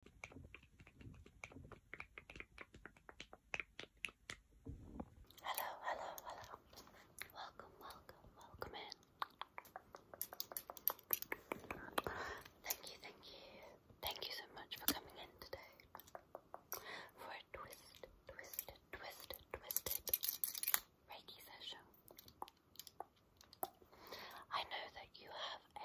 Hello, hello, hello. Welcome, welcome, welcome in. Thank you, thank you. Thank you so much for coming in today. For a twist, twisted, twisted, twisted Reiki session. I know that you have a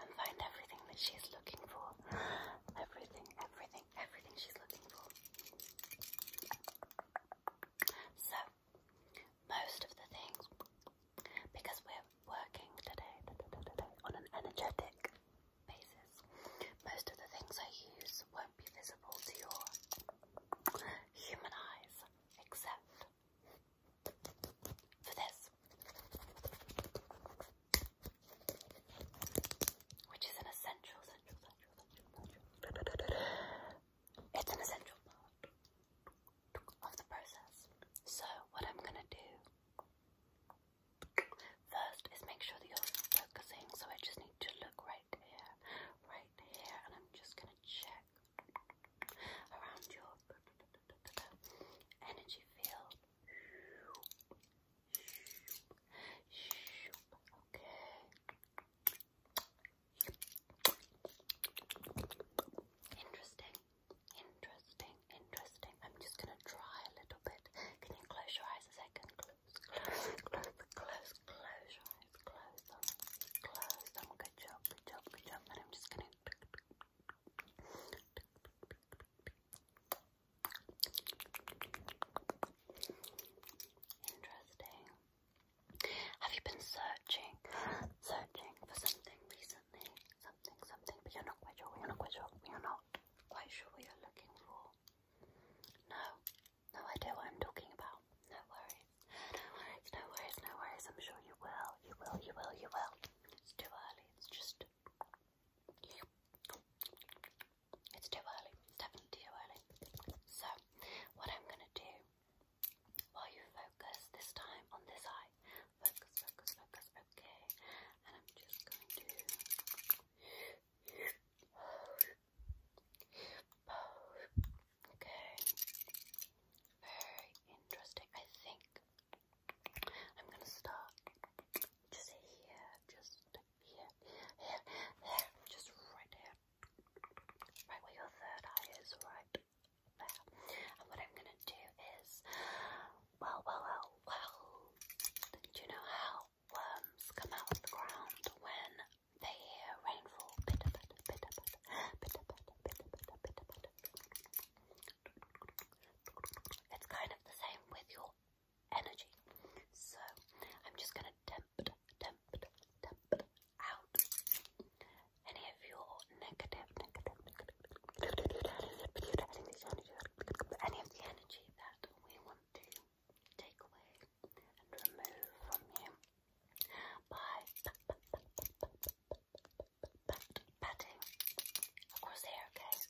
and find everything that she's looking for. Everything, everything, everything she's looking for. So, most of the things, because we're working today, today on an energetic basis, most of the things I use won't be visible to your human eyes, except for this. Which is an essential, essential, essential, essential, part of the process. So what I'm gonna do first is make sure that you're focusing. So I just need to look right here, right here, and I'm just gonna check around your energy field. Interesting, interesting, interesting. I'm just gonna try a little bit. Can you close your eyes a second? Close, close, close, close, close your eyes, close Good job, good job, good job. And I'm just gonna Interesting. Have you been searching, searching for something recently? Something, something, but you're not quite sure. You're not quite sure. You're not quite sure what you're looking for. No, no idea what I'm talking about. No worries. No worries. No worries. No worries. I'm sure you will. You will. You will. You will. It's too early. It's just it's too early, definitely too early. So, what I'm going to do while you focus this time on this eye, focus, focus, focus, okay. And I'm just going to okay. Very interesting. I think I'm gonna start just here, just here, here, here, just right here, right where your third eye is, right there. And what I'm gonna do is, well, well, well, well, do you know how worms come out of the ground when they hear rainfall? It's kind of the same with your energy. So I'm just going to temp, temp, temp out any of your negative, negative, negative, any of the energy that we want to take away and remove from you by pat, patting here, okay? Pat,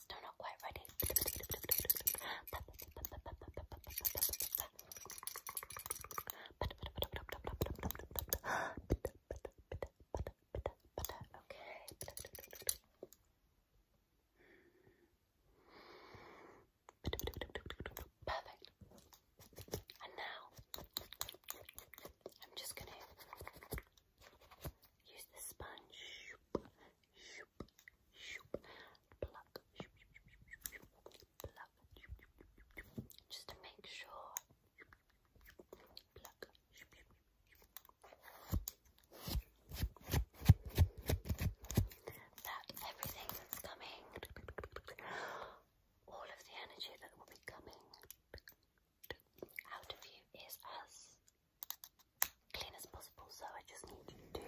Still not quite ready. Okay. Perfect. And now I'm just going to Use the sponge. Just to make sure. That everything that's coming. All of the energy that will be coming out of you is as clean as possible, so I just need you to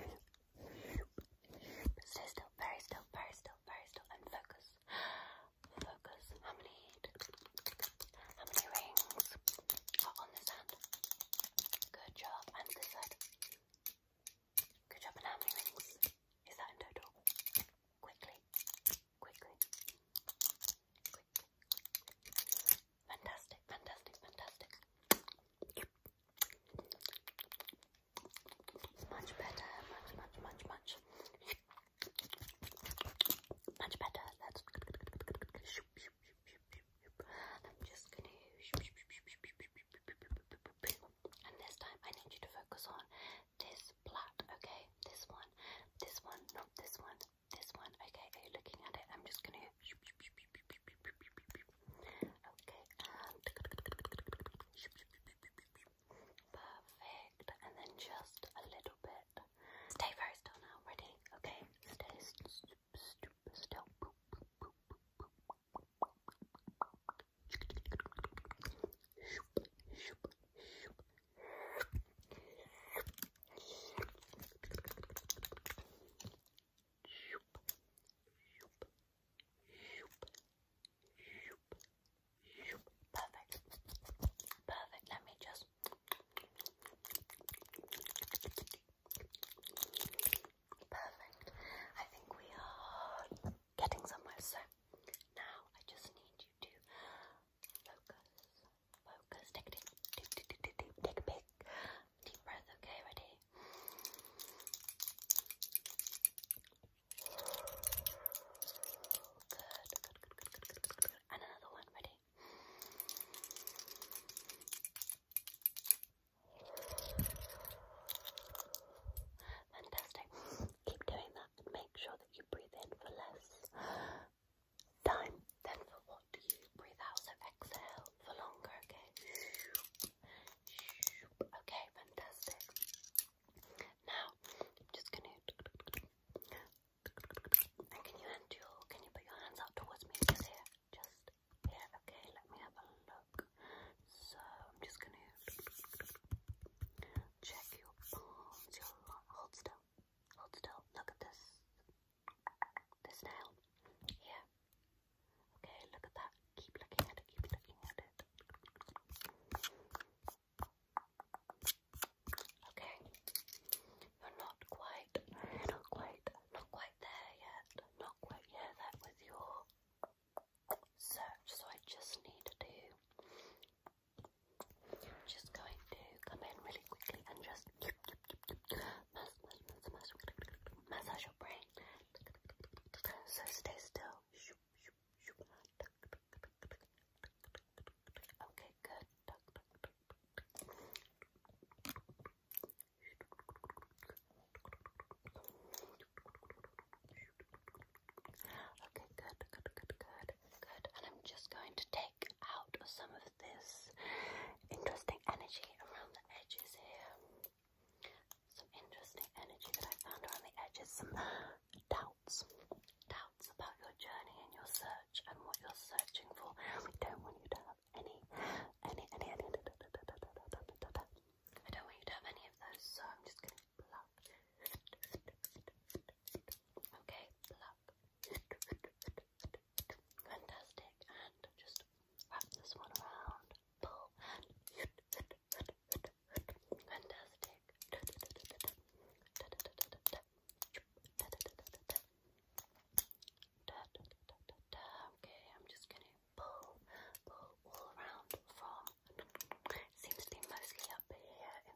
stay still, very still, very still, very still, and focus. Focus. How many? How many rings are on this hand? Good job. And this side. Good job. And how many rings is that in total? Quickly quickly. Quick, Fantastic, fantastic, fantastic. Much better, much, much, much, much. Much better. That's I'm just gonna and this time I need you to focus on this plait, okay? This one, this one, not this one, this one, okay, are you looking at it? I'm just gonna Okay, and perfect. And then just a little bit. Stay very still now, ready? Okay, stay still. Shoop, shoop, shoop, shoop, Perfect. Perfect. Let me just Perfect. I think we are getting somewhere. So now I just need you to Focus. Focus. Take a deep, deep, deep, deep, deep, deep, deep breath. Okay, ready? Good, good, good, good, good, good, good, another one, ready? Fantastic. Keep doing that make sure that you breathe in for less time. Then for what do you breathe out? So exhale for longer, okay? Okay, fantastic. Now I'm just gonna can you put your hands out towards me just here? Just here, okay, let me have a look. So I'm just gonna check your palms, hold still. Hold still. Look at this. This nail. Here. Okay, look at that. Keep looking at it. Keep looking at it. Okay. You're not quite, not quite, not quite there yet. Not quite there that with your search. So I just need to I'm just going to come in really quickly and just massage your brain. So stay still. Okay, good. Okay, good, good, good, good good. And I'm just going to take out some of this interesting energy around the edges here. Some interesting energy that I found around the edges. Some doubts, doubts about your journey and your search and what you're searching for. We don't want you to have any, any, any, any. Da, da, da, da, da, da, da, da. I don't want you to have any of those, so I'm just going to pluck. Okay, pluck, Fantastic. And just wrap this one around. Pull and fantastic. Okay, I'm just gonna pull, pull all around from. It seems to be mostly up here in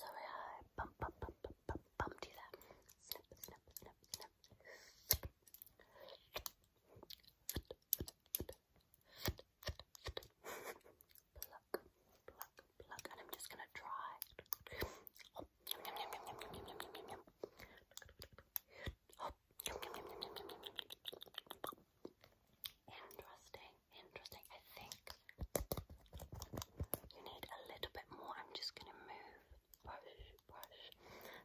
Sorry, I bumped you there. and I'm just gonna try. Interesting interesting. I think you need a little bit more. I'm just gonna move, brush, brush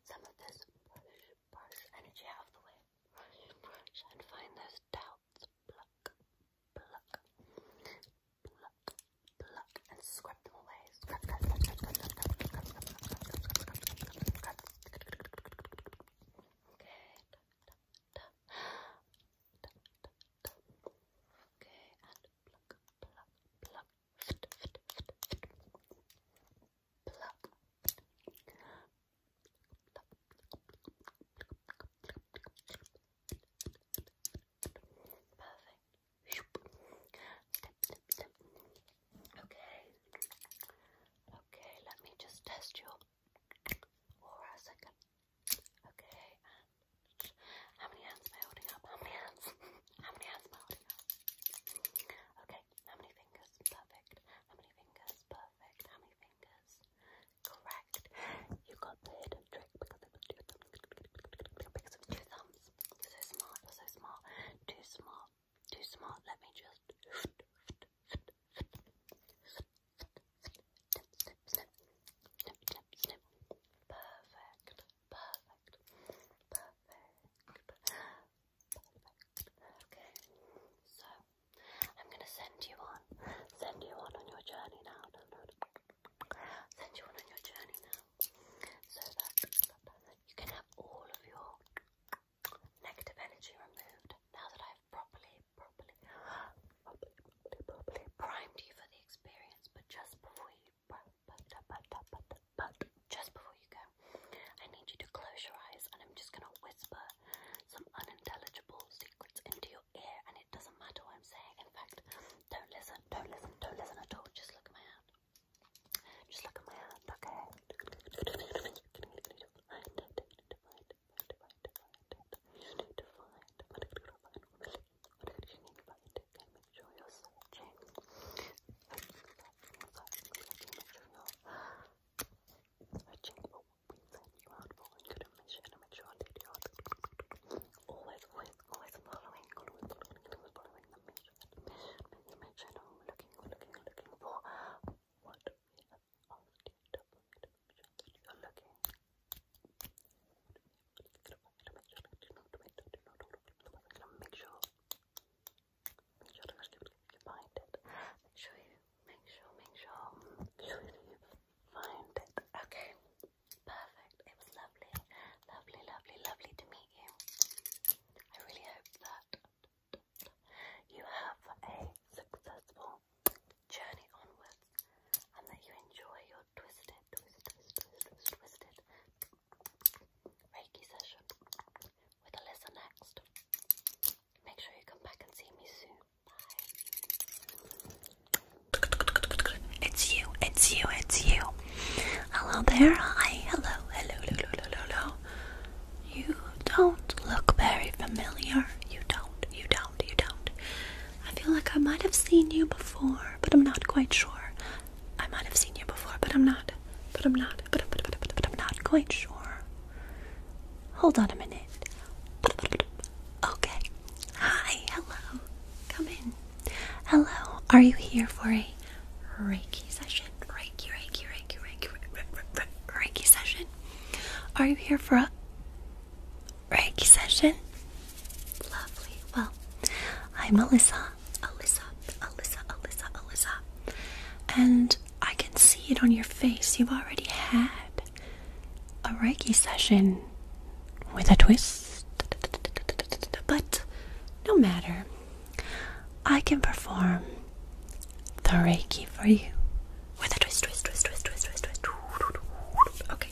some of this brush, brush energy out of the way. Brush, brush, and find those doubts. Pluck, pluck, pluck, pluck, and scrub them away. Scrub, scrub, scrub, scrub, scrub, scrub, scrub, scrub, scrub, scrub, scrub, scrub, Okay. Okay, and pluck, pluck, pluck, fit, fit, fit, fit. pluck, pluck, perfect. Step, step, step. Okay, okay. Let me just test your aura a second. Okay, um, how many hands am I holding up? How many hands? how many hands am I holding up? Okay, how many fingers? Perfect. How many fingers? Perfect. How many fingers? Correct. You got the hidden trick because it was two thumbs. so smart. so smart. Too smart. Too smart. Let me just snip, Perfect, perfect, perfect, perfect. Okay, so I'm gonna send you on, send you on on your journey now. Send you on on your journey now, so that you can have all of your negative energy removed. Now that I've properly, properly, primed you for the experience, but just before you, just before you go, I need you to close your eyes and I'm just gonna whisper some unintelligible secrets into your ear and it doesn't matter what I'm saying. In fact, don't listen, don't listen, don't listen at all. Just look at my hand. Just look at my hand, okay? What did you mean by make sure you're searching. Making sure you're searching we sent you out for and couldn't make sure I did Always, always, always following, always following, always looking, for what we have to find. Make sure you're looking. Make sure, make sure to you find it. Make sure make sure, make sure, you find it. Okay, perfect. It was lovely, lovely, lovely, lovely to meet you. I really hope that you have a successful journey onwards and that you enjoy your twisted it, twist, twist, twist, twist, twist it. Reiki session with Alyssa next. Make sure you come back and see me soon. Bye. It's you, it's you, it's you. Hello there. Hi, hello, hello, hello, hello, hello. You don't look very familiar. You don't, you don't, you don't. I feel like I might have seen you before, but I'm not quite sure. I might have seen you before, but I'm not. But I'm not. But, I'm not quite sure. Hold on a minute. Okay. Hi. Hello. Come in. Hello. Are you here for a Reiki session? Reiki, Reiki, Reiki, Reiki, Reiki session? Are you here for a Reiki session. Lovely. Well, I'm Alyssa. Alyssa, Alyssa, Alyssa, Alyssa. And I can see it on your face. You've already had a Reiki session with a twist. But no matter, I can perform the Reiki for you with a twist, twist, twist, twist, twist, twist, twist. Okay,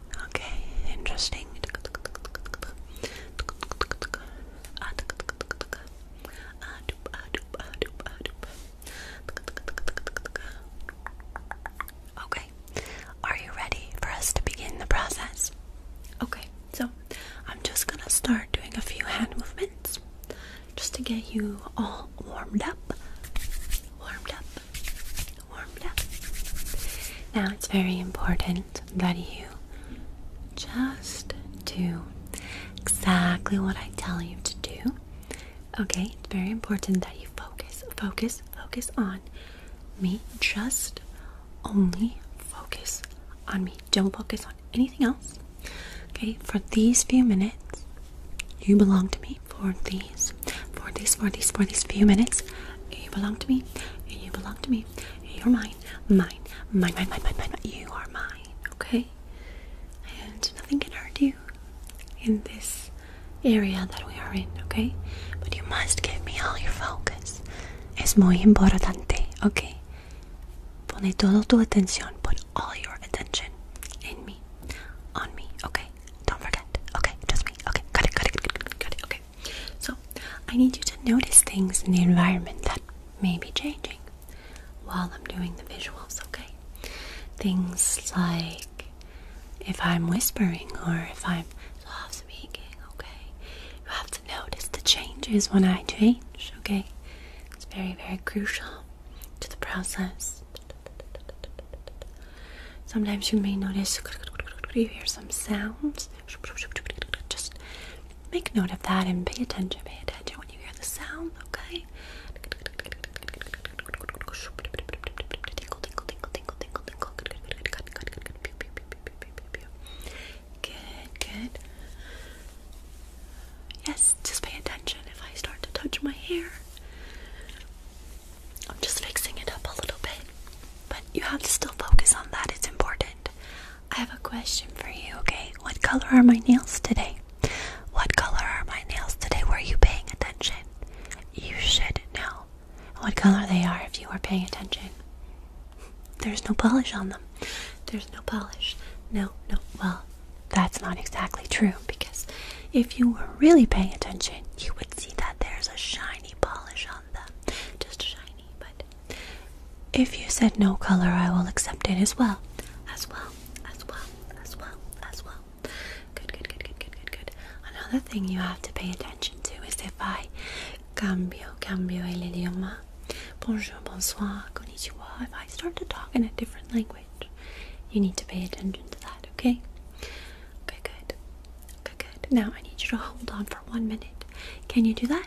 Okay, interesting. Okay, are you ready for us to begin the process? Okay, so I'm just gonna start doing a few hand movements just to get you all warmed up. Warmed up, warmed up. Now it's very important moment that you just do exactly what I tell you to do. Okay, it's very important that you focus, focus, focus on me. Just only focus on me. Don't focus on anything else. Okay, for these few minutes, you belong to me. For these, for these, for these, for these few minutes, you belong to me. You belong to me. You're mine. Mine. Mine, mine, mine, mine, mine. You are mine. Okay? And nothing can hurt you in this area that we are in, okay? But you must give me all your focus. Es muy importante, okay? Pone todo tu atención. Put all your attention in me. On me, okay? Don't forget. Okay, just me. Okay, got it, got it, got it, got it, okay. So, I need you to notice things in the environment that may be changing while I'm doing the visuals, okay? Things like if I'm whispering or if I'm speaking, okay? You have to notice the changes when I change, okay? It's very, very crucial to the process. Sometimes you may notice you hear some sounds just make note of that and pay attention, pay attention when you hear the sound, okay? good, good. Yes, just pay attention if I start to touch my hair. I'm just fixing it up a little bit. But you have to still focus on that, it's important. I have a question for you, okay? What color are my nails today? What color are my nails today? Were you paying attention? You should know what color they are if you were paying attention. There's no polish on them. There's no polish. No, no, well, that's not exactly true because if you were really paying attention, you would see that there's a shiny polish on. Just shiny, but if you said no color, I will accept it as well. As well, as well, as well, as well. Good, good, good, good, good, good, good. Another thing you have to pay attention to is if I cambio, cambio el idioma. Bonjour, bonsoir, konnichiwa. If I start to talk in a different language, you need to pay attention to that, okay? Okay, good. Okay, good. Now I need you to hold on for one minute. Can you do that?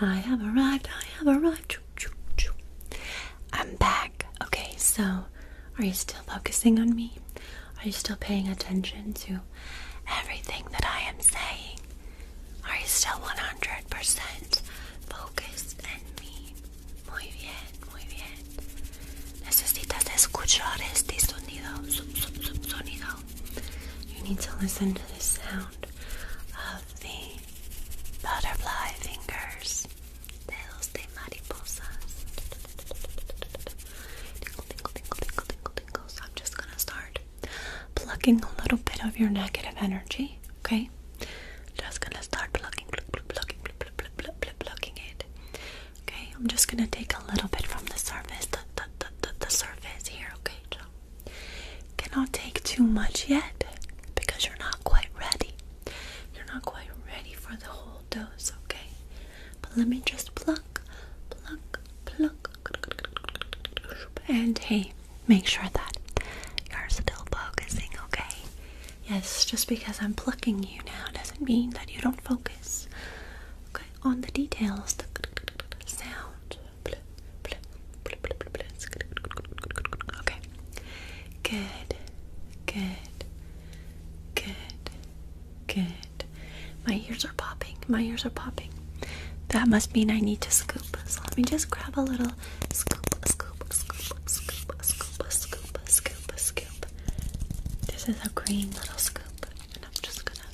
I have arrived. I have arrived. I'm back. Okay, so are you still focusing on me? Are you still paying attention to everything that I am saying? Are you still 100% focused on me? Muy bien, muy bien. Necesitas escuchar este sonido. sonido. You need to listen to the sound of the butterfly fingers, dedos Tingle, tingle, tingle, tingle, tingle, tingle. I'm just gonna start plucking a little bit of your negative energy. Okay, just gonna start plucking, pluck, pluck, plucking, pluck, pluck, plucking it. Okay, I'm just gonna take a little bit from the surface, the, the, the, the, surface here. Okay, cannot take too much yet because you're not quite ready. You're not quite ready for the whole dose, okay? But let me just pluck, pluck, pluck. And hey, make sure that you're still focusing, okay? Yes, just because I'm plucking you now doesn't mean that you don't focus. Okay, on the details, the sound. Okay. Good. Good. Good. Good. My ears are popping. My ears are popping. That must mean I need to scoop. So let me just grab a little scoop, scoop, scoop, scoop, scoop, scoop, scoop, scoop. This is a green little scoop. And I'm just gonna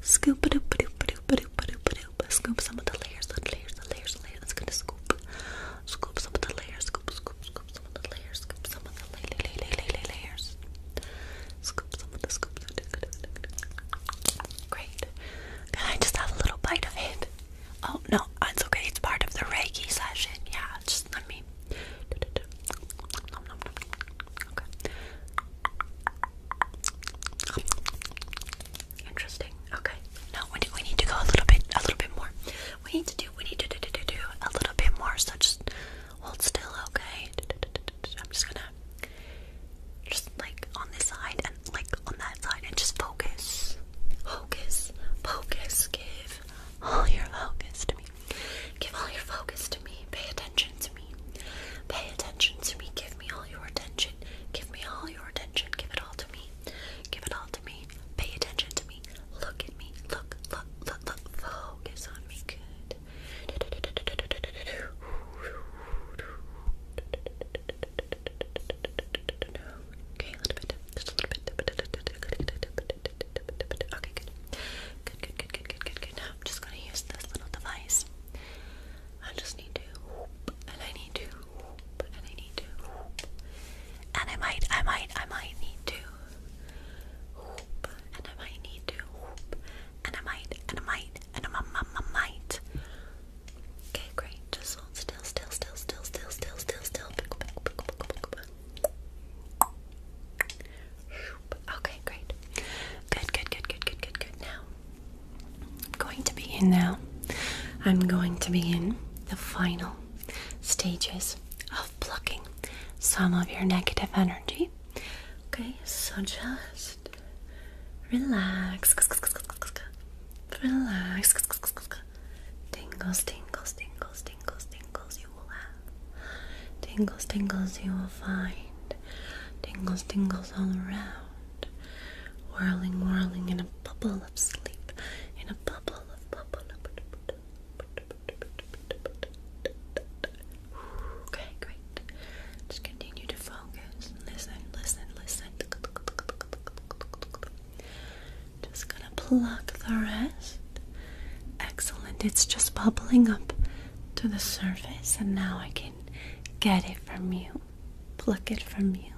scoop doop doop doop doop doop doop. Scoop some of the layers, the layers, the layers, the layers. It's gonna scoop. Scoop some of the layers. Scoop, scoop, scoop some of the layers. Scoop some of the lay layers. Scoop some of the scoops. Great. Can I just have a little bite of it? Oh no, it's okay. It's part of the Reiki session. Yeah, just let me. Interesting. Okay. Now we need, we need to go a little bit, a little bit more. We need to do, we need to do, do, do, do a little bit more. So just hold still, okay? I'm just gonna, just like on this side and like on that side, and just focus, focus, focus. Give all your focus to me. Give all your focus to me. Pay attention to me. Pay attention to me. Give me all your attention. Give me all your attention. Give it all to me. Give it all to me. Pay attention to me. Look at me. Look, look, look, look. Focus on me. Good. Okay, Just a little bit. Okay, good. Good, good, good, good, good, good, good. Now I'm just gonna use this little device. I just need to, and I need to and I might, I might, I might need to and I might need to and I might, and I might, and I might, Okay, great. Just hold still, still, still, still, still, still, still, still. Okay, great. Good, good, good, good, good, good, good. Now, I'm going to begin now. I'm going to begin the final stages of plucking some of your negative energy. Okay, so just relax, relax, tingles, tingles, tingles, tingles, tingles. You will have tingles, tingles. You will find tingles, tingles all around, whirling, whirling in a a bubble of sleep, in a bubble of bubble. Okay, great. Just continue to focus. Listen, listen, listen. Just gonna pluck the rest. Excellent. It's just bubbling up to the surface, and now I can get it from you. Pluck it from you.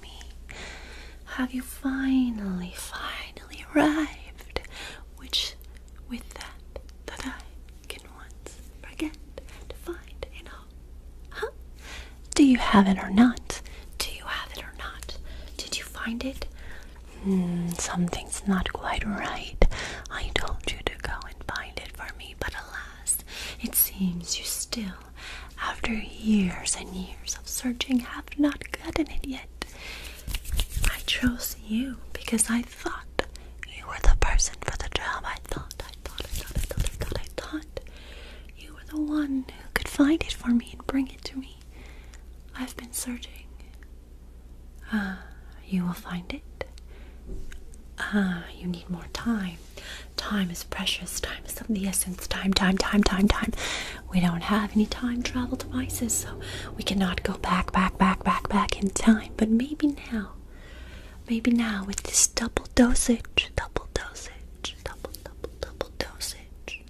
me? Have you finally, finally arrived? Which, with that, that I can once forget to find in all. Huh? Do you have it or not? Do you have it or not? Did you find it? Hmm, something's not quite right. I told you to go and find it for me, but alas, it seems you still after years and years of searching, have not gotten it yet. I chose you because I thought you were the person for the job. I thought, I thought, I thought, I thought, I thought, I thought you were the one who could find it for me and bring it to me. I've been searching. Ah, you will find it. Ah, you need more time. Time is precious. Time is of the essence. Time, time, time, time, time. We don't have any time travel devices, so we cannot go back, back, back, back, back in time. But maybe now, maybe now with this double dosage, double dosage, double, double, double dosage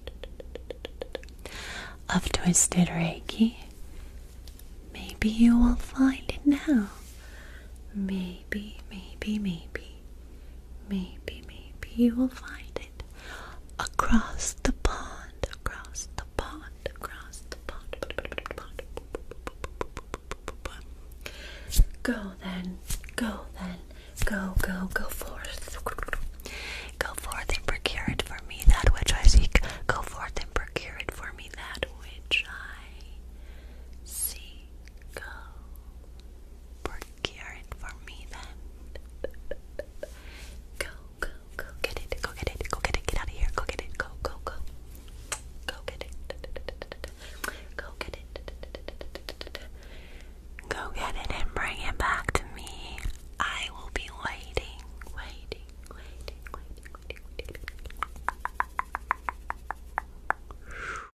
of twisted Reiki, maybe you will find it now. Maybe maybe, maybe, maybe, maybe, maybe you will find it across the pond, across the pond, across the pond. Go then, go then, go, go, go forth. Go forth and procure it for me that which I seek. Go forth and procure it for me that which I seek. Go. Procure Kieran for me then. Go, go, go get it, go get it, go get it, get out of here, go get it, go, go, go. Go get it. Go get it. Go get it and bring it back to me. I will be waiting, waiting, waiting.